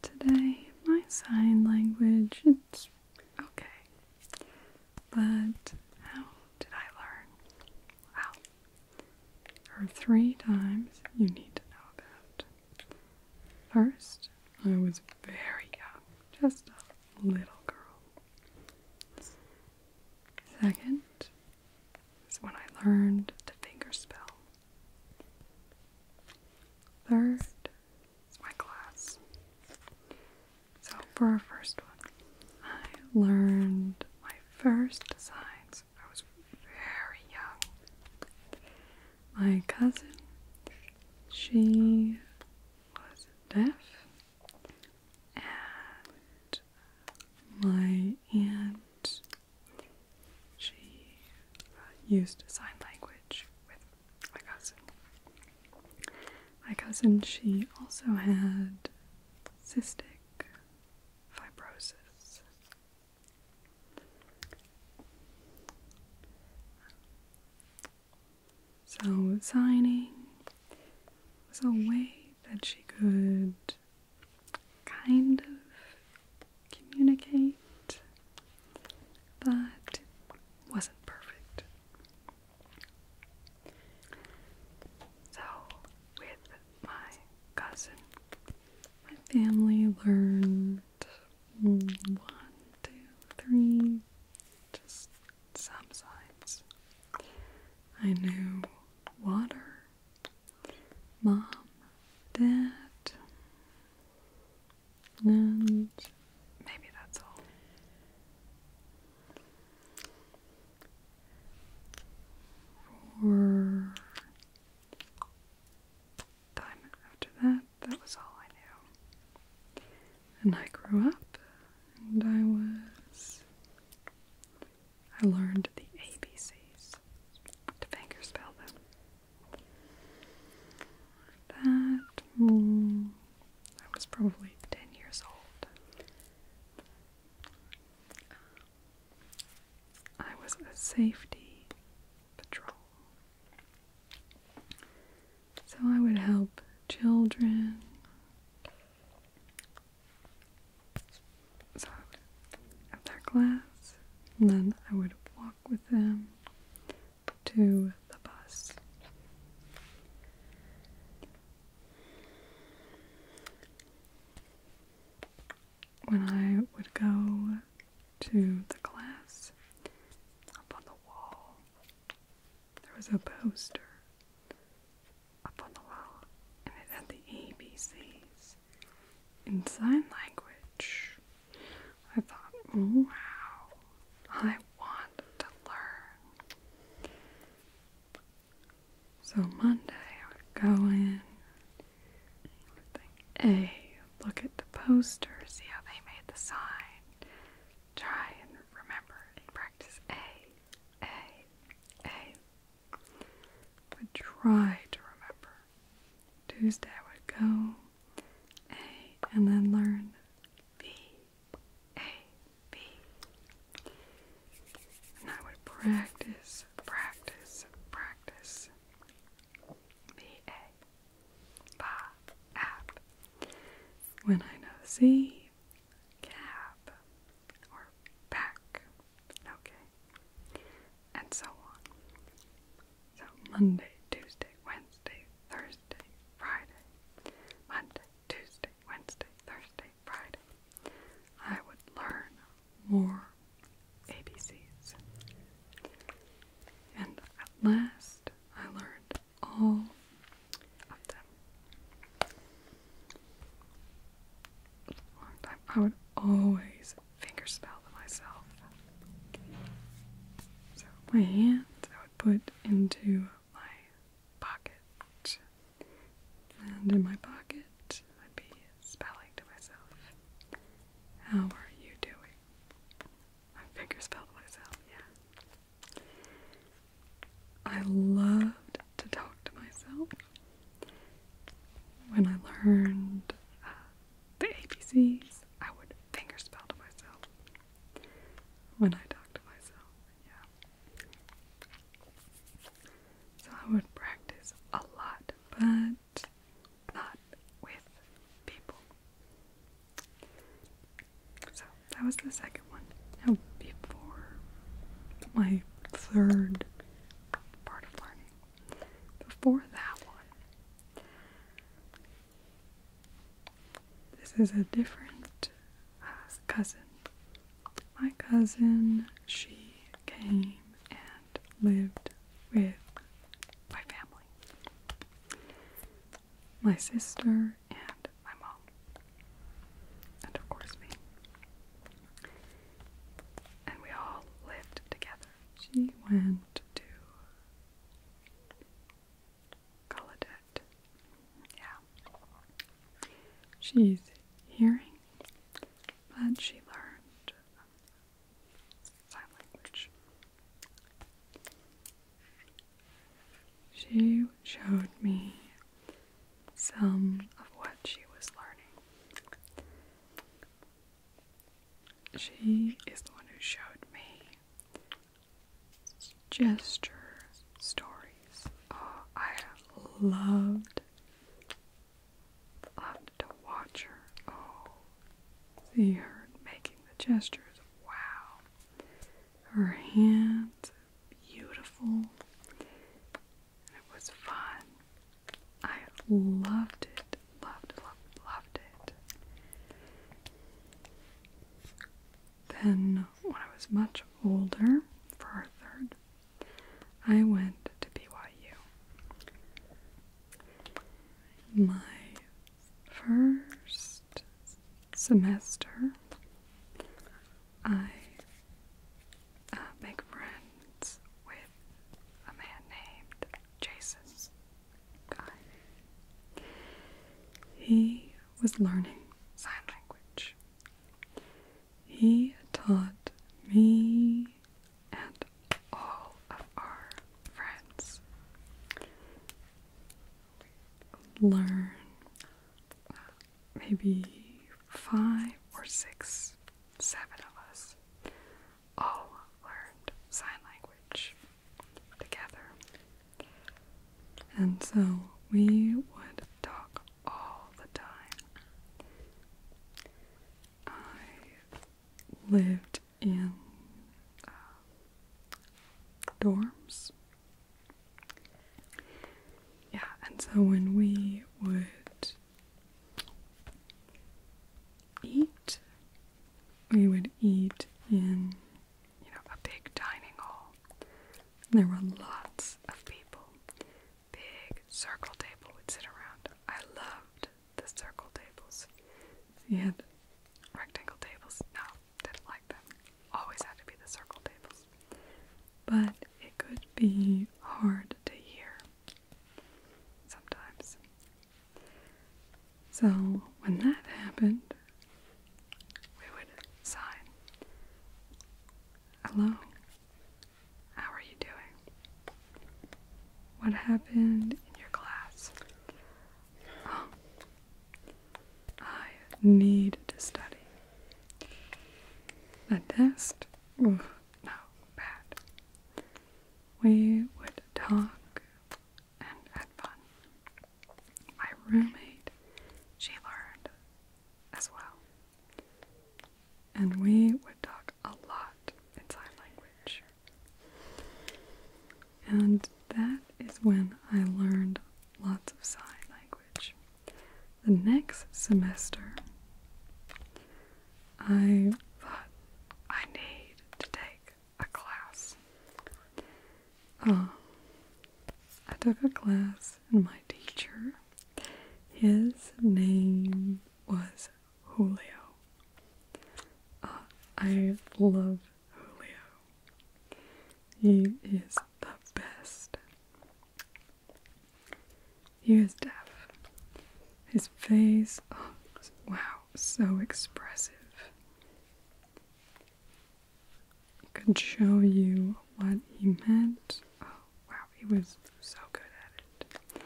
Today, my sign language, it's okay. But how did I learn? Well, there three times you need to know about. First, I was very young, just a little girl. Second is when I learned the fingerspell. Third is my class. So for our first one, I learned my first designs. I was very young. My cousin, she was deaf, and my aunt she uh, used sign language with my cousin. My cousin, she also had cystic fibrosis. So signing was a way that she could kind of communicate, but it wasn't perfect. So, with my cousin, my family learned one, two, three, just some signs. I knew water mom, dad, and maybe that's all. For time after that, that was all I knew. And I grew up and I was I learned the ABCs to fingerspell them. That I was probably ten years old. I was a safety patrol. So I would help children so I would have their class, and then I would walk with them to the bus. When I would go to the class, up on the wall, there was a poster up on the wall, and it had the ABCs in sign language. I thought, wow, I want to learn. So Monday, I would go in, A, look at the poster, see how they made the sign, try and remember and practice A, A, A, would try to remember. Tuesday I would go A and then learn B, A, B. And I would practice, practice, practice. B, A, ba, app. When I know C, cap or back, Okay. And so on. So Monday, Tuesday, Wednesday, Thursday, Friday. Monday, Tuesday, Wednesday, Thursday, Friday. I would learn more ABCs. And at last, I learned all of them. I would always fingerspell spell them myself. So my hand, I would put into my pocket. And in my pocket I'd be spelling to myself. How are you doing? I finger spelled myself, yeah. I loved to talk to myself. When I learned uh, the ABCs, I would fingerspelled to myself when I talk to myself. Yeah. So I would practice a lot, but not with people. So that was the second one. Now, before my third part of learning. Before that one, this is a different uh, cousin. My cousin, she came and lived with my family. My sister and my mom. And of course me and we all lived together. She went to Gallaudet. Yeah. She's hearing, but she learned sign language. She showed me some of what she was learning. She is the one who showed me gesture stories. Oh, I loved, loved to watch her. Oh, see her making the gestures. Wow. Her hands, beautiful it was fun. I loved it, loved, loved, loved it. Then, when I was much older, for our third, I went to BYU. My first semester, I uh, make friends with a man named Jason He was learning sign language. He taught me and all of our friends learn maybe five or six, seven of us all learned sign language together. And so we would talk all the time. I lived in uh, dorms yeah, and so when we would eat, we would eat in, you know, a big dining hall. And there were lots of people. Big circle table would sit around. I loved the circle tables. You rectangle tables. No, didn't like them always had to be the circle tables. But it could be hard to hear sometimes. So when that happened, we would sign, Hello, how are you doing? What happened in your class? Oh, I need to study. The test? Oof, bad. We would talk and had fun. My roommate, she learned as well. And we would talk a lot in sign language. And that is when I learned lots of sign language the next semester, I thought I need to take a class. Uh, I took a class, and my teacher, his name was Julio. Uh, I love Julio. He is the best. He was deaf. His face, oh, wow, so expressive. He could show you what he meant. Oh, wow, he was so good at it.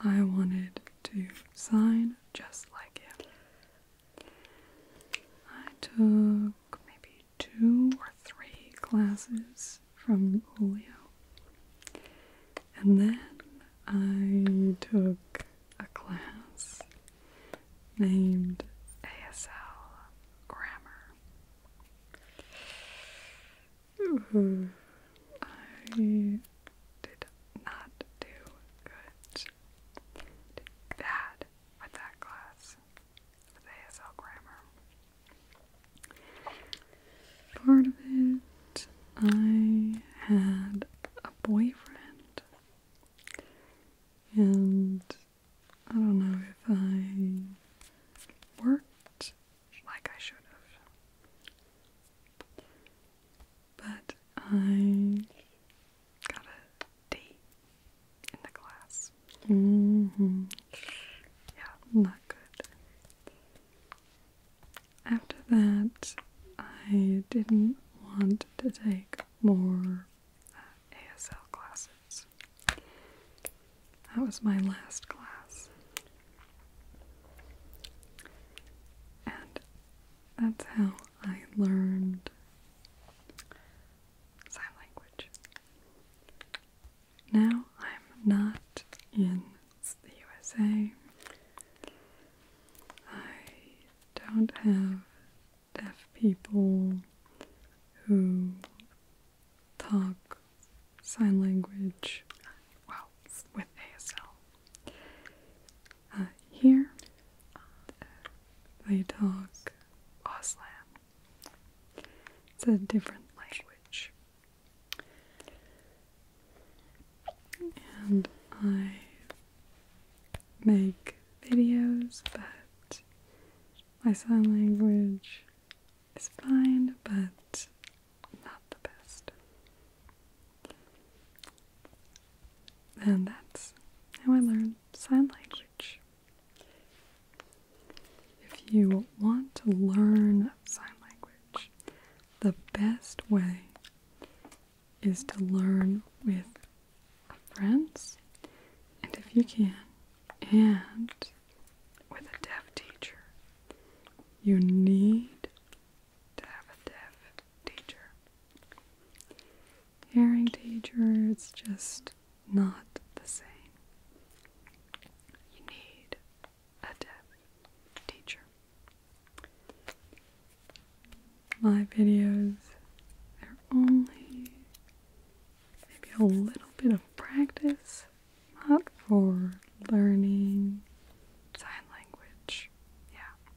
I wanted to sign just like him. I took maybe two or three classes from Julio. And then I took a class named ASL Grammar. I did not do good. Did bad with that class. ASL grammar. Part of it, I had a boyfriend, and I don't know if I worked like I should have. But I Got a D in the class. Mm-hmm. Yeah, not good. After that, I didn't want to take more uh, ASL classes. That was my last class. And that's how I learned sign language. Now I'm not in the USA. I don't have deaf people who talk sign language well with ASL. Uh, here, they talk Auslan. It's a different language. And I make videos, but my sign language is fine, but not the best. And that's how I learn sign language. If you want to learn sign language, the best way is to learn with friends, and if you can, and with a deaf teacher. You need to have a deaf teacher hearing teacher, it's just not the same. You need a deaf teacher. My videos they are only maybe a little bit of practice, not for learning sign language. Yeah.